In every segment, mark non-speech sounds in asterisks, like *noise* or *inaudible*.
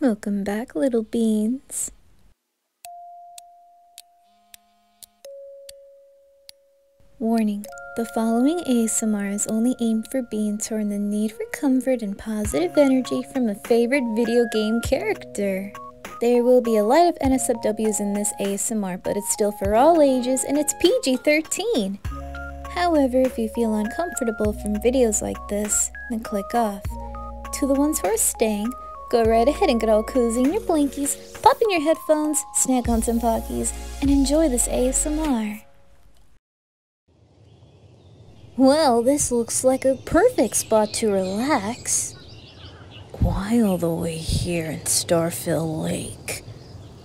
Welcome back, little beans. Warning, the following ASMR is only aimed for beans who are in the need for comfort and positive energy from a favorite video game character. There will be a lot of NSFWs in this ASMR, but it's still for all ages and it's PG-13. However, if you feel uncomfortable from videos like this, then click off. To the ones who are staying, go right ahead and get all cozy in your blankies, pop in your headphones, snack on some Pockies, and enjoy this ASMR. Well, this looks like a perfect spot to relax. Why all the way here in Starfill Lake?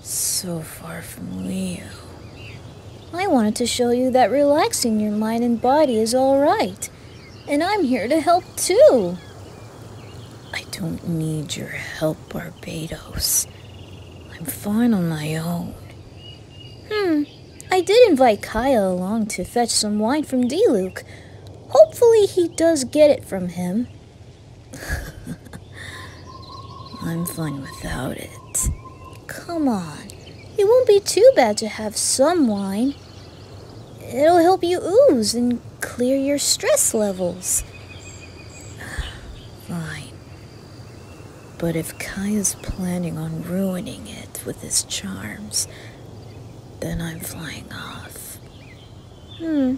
So far from real. I wanted to show you that relaxing your mind and body is alright. And I'm here to help too. I don't need your help, Barbados. I'm fine on my own. Hmm. I did invite Kaya along to fetch some wine from D. Luke. Hopefully he does get it from him. *laughs* I'm fine without it. Come on. It won't be too bad to have some wine. It'll help you ooze and clear your stress levels. *sighs* Fine. But if Kai is planning on ruining it with his charms, then I'm flying off. Hmm.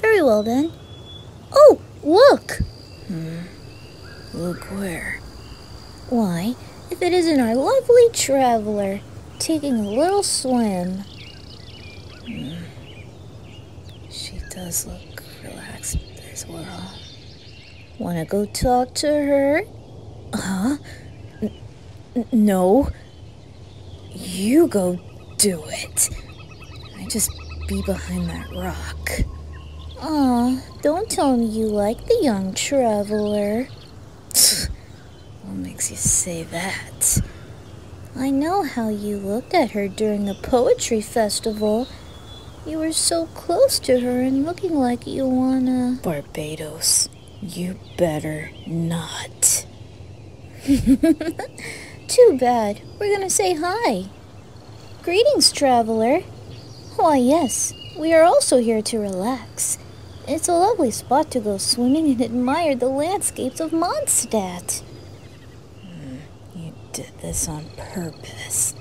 Very well then. Oh, look! Hmm. Look where? Why, if it isn't our lovely traveler taking a little swim. Hmm. She does look relaxed as well. Wanna go talk to her? Huh? no. You go do it. I just be behind that rock. Aw, don't tell me you like the young traveler. what makes you say that? I know how you looked at her during the poetry festival. You were so close to her and looking like you wanna. Barbados, you better not. *laughs* Too bad. We're gonna say hi. Greetings, traveler. Why, yes, we are also here to relax. It's a lovely spot to go swimming and admire the landscapes of Mondstadt. Hmm, you did this on purpose.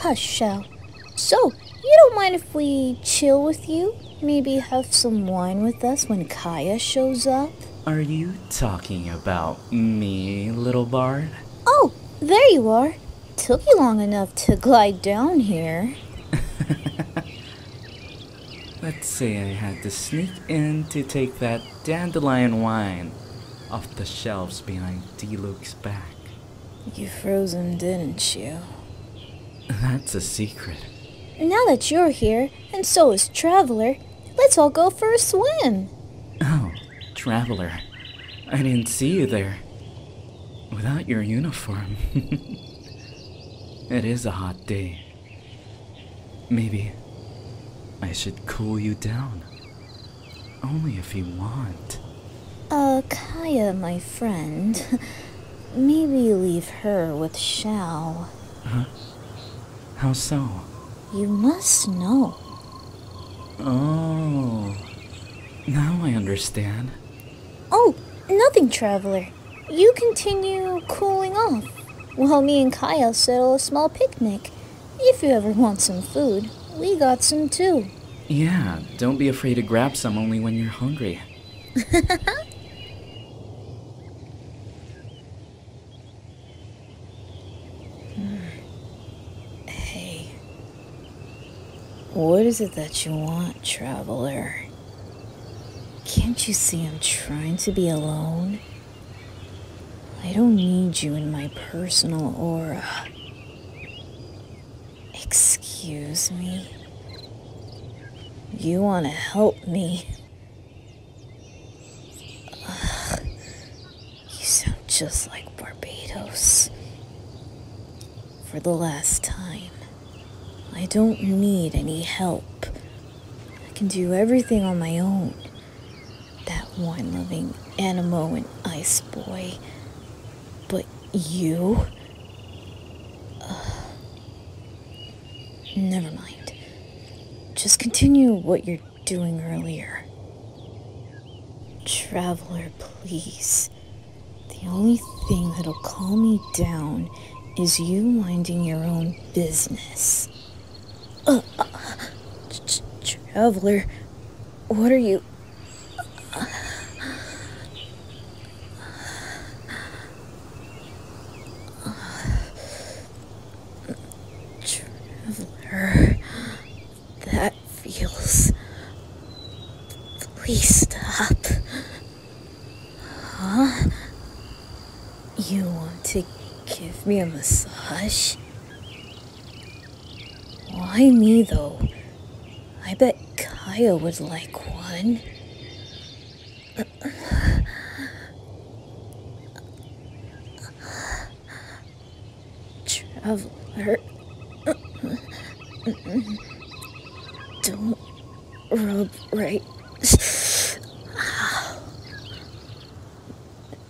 Hush, Shell. So, you don't mind if we chill with you? Maybe have some wine with us when Kaya shows up? Are you talking about me, little bard? Oh, there you are. Took you long enough to glide down here. *laughs* Let's say I had to sneak in to take that dandelion wine off the shelves behind D. back. You froze him, didn't you? That's a secret. Now that you're here, and so is Traveler, Let's all go for a swim. Oh, Traveler. I didn't see you there. Without your uniform. *laughs* it is a hot day. Maybe I should cool you down. Only if you want. Uh, Kaya, my friend. *laughs* Maybe leave her with Xiao. Huh? How so? You must know. Oh. Now I understand. Oh, nothing, traveler. You continue cooling off while me and Kyle settle a small picnic. If you ever want some food, we got some too. Yeah, don't be afraid to grab some only when you're hungry. *laughs* Hey. What is it that you want, traveler? Can't you see I'm trying to be alone? I don't need you in my personal aura. Excuse me. You want to help me, *sighs* you sound just like Barbados. For the last time, I don't need any help. I can do everything on my own. That wine loving Animo and Ice Boy. But you? *sighs* Never mind. Just continue what you're doing earlier. Traveler, please. The only thing that'll calm me down is you minding your own business. Uh, uh, traveler, what are you. Traveler. That feels. Please stop. Huh? You want to give me a massage? Why me though? I bet Kaya would like one. Traveler, don't rub right.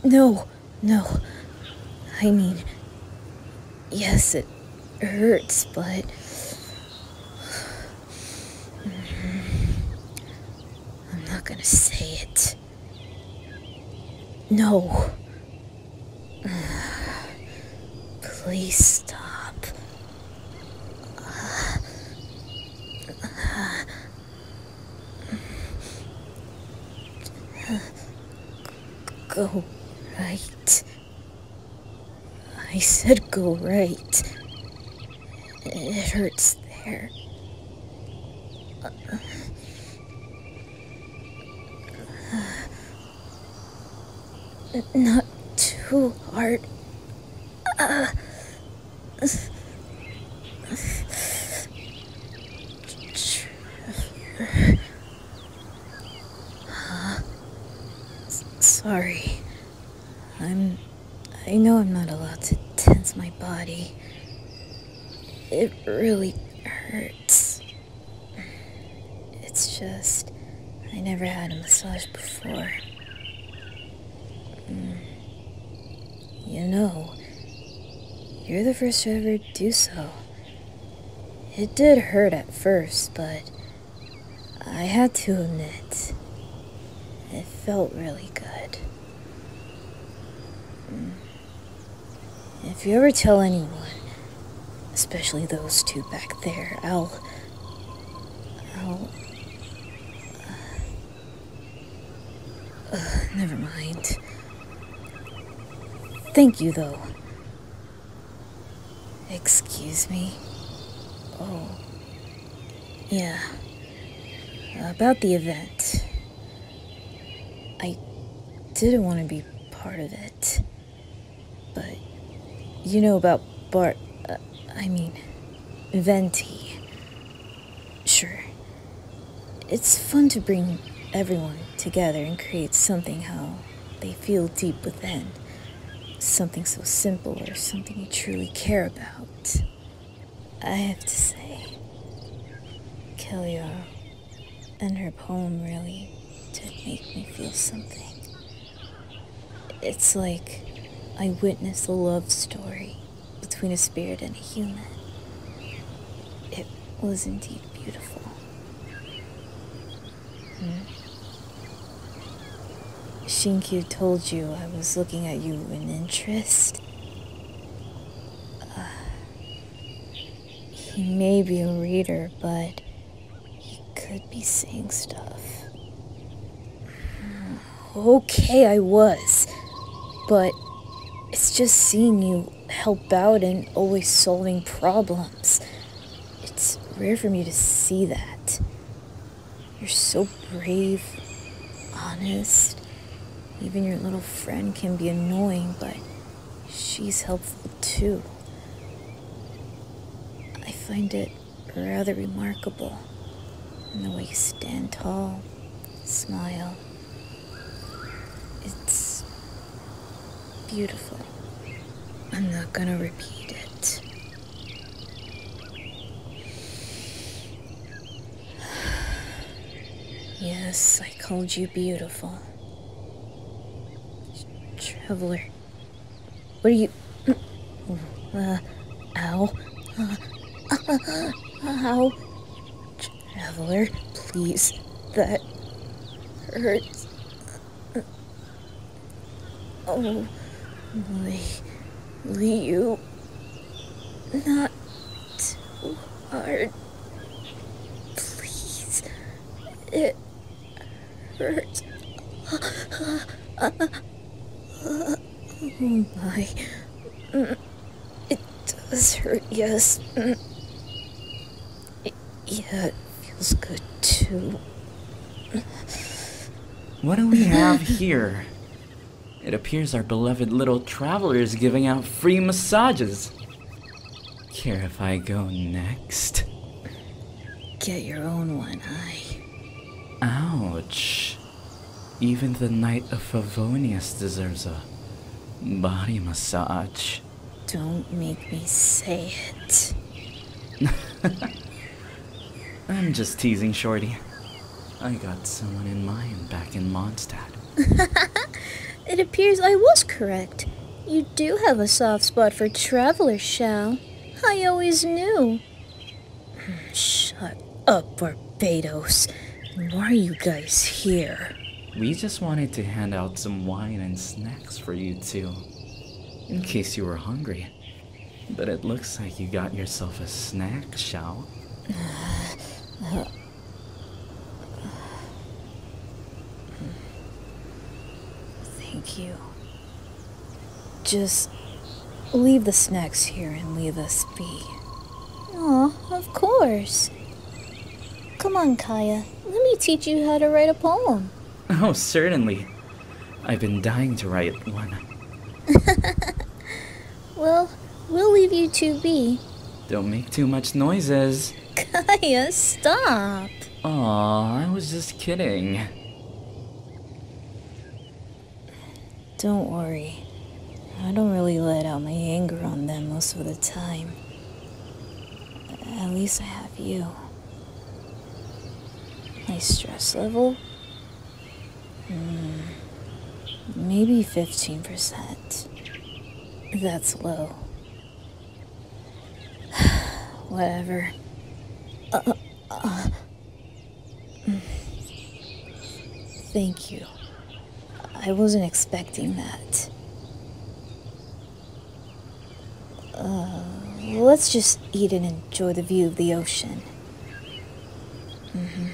No, no. I mean, yes, it hurts, but. I'm not gonna say it. No. *sighs* Please stop. *sighs* go right. I said go right. It hurts there. not too hard. sorry. I'm I know I'm not allowed to tense my body. It really hurts. It's just, I never had a massage before. Mm. You know, you're the first to ever do so. It did hurt at first, but I had to admit, it felt really good. Mm. If you ever tell anyone, especially those two back there, I'll. I'll. Uh, never mind. Thank you, though. Excuse me. Oh. Yeah. About the event. I didn't want to be part of it. But you know about Bart. Uh, I mean, Venti. Sure. It's fun to bring everyone together and create something how they feel deep within. Something so simple or something you truly care about. I have to say, Killiar and her poem really did make me feel something. It's like I witnessed a love story between a spirit and a human. It was indeed beautiful. Hmm? Shinku told you I was looking at you in interest. Uh, he may be a reader, but he could be seeing stuff. Hmm, okay, I was, but it's just seeing you help out and always solving problems. It's rare for me to see that. You're so brave, honest. Even your little friend can be annoying, but she's helpful too. I find it rather remarkable in the way you stand tall, smile. It's beautiful. I'm not gonna repeat it. Yes, I called you beautiful. Traveler. What are you... Uh, uh ow. Uh, uh, uh Traveler, please. That hurts. Oh, Lee, Lee, you. Not too hard. Please. It hurts. Oh my. It does hurt, yes. Mm. yeah, it feels good too. What do we have here? It appears our beloved little traveler is giving out free massages. Care if I go next? Get your own one, I. Ouch. Even the Knight of Favonius deserves a body massage. Don't make me say it. *laughs* I'm just teasing, Shorty. I got someone in mind back in Mondstadt. *laughs* it appears I was correct. You do have a soft spot for travelers, Shao. I always knew. Hmm, shut up, Barbados. Why are you guys here? We just wanted to hand out some wine and snacks for you two. In case you were hungry. But it looks like you got yourself a snack, Xiao. Thank you. Just leave the snacks here and leave us be. Aw, of course. Come on, Kaya. Let me teach you how to write a poem. Oh, certainly. I've been dying to write one. *laughs* well, we'll leave you two be. Don't make too much noises. *laughs* Kaya, stop. Oh, I was just kidding. Don't worry. I don't really let out my anger on them most of the time. At least I have you. My stress level? Hmm, maybe 15%. That's low. *sighs* Whatever. Uh, uh, uh. thank you. I wasn't expecting that. Uh, let's just eat and enjoy the view of the ocean. Mm hmm.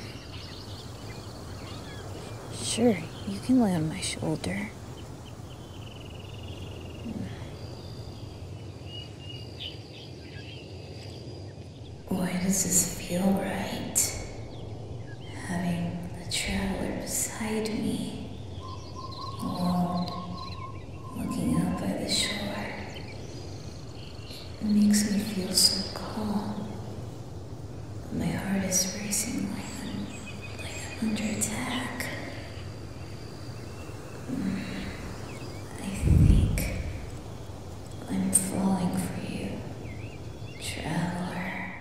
Sure, you can lay on my shoulder. Why mm. does this feel right? Having the traveler beside me Hold, looking out by the shore. It makes me feel so calm. my heart is racing like under attack. Mm, I think I'm falling for you, traveler.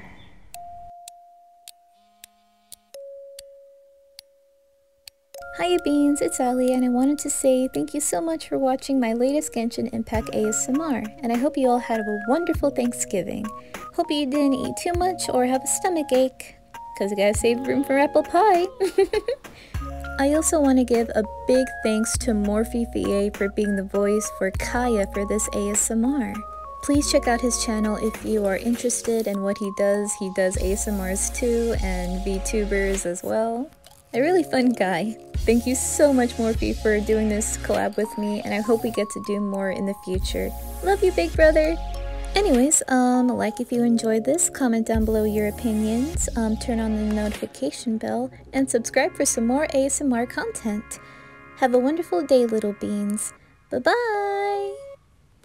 Hiya Beans, it's Ali and I wanted to say thank you so much for watching my latest Genshin Impact ASMR and I hope you all had a wonderful Thanksgiving. Hope you didn't eat too much or have a stomach ache, cause you gotta save room for apple pie. *laughs* I also want to give a big thanks to Morphe Fea for being the voice for Kaya for this ASMR. Please check out his channel if if you are interested in what he does, he does ASMRs too and VTubers as well. A really fun guy. Thank you so much, Morphe, for doing this collab with me, and I hope we get to do more in the future. Love you, big brother! Anyways, um, like if you enjoyed this, comment down below your opinions, um, turn on the notification bell, and subscribe for some more ASMR content. Have a wonderful day, little beans. Bye-bye!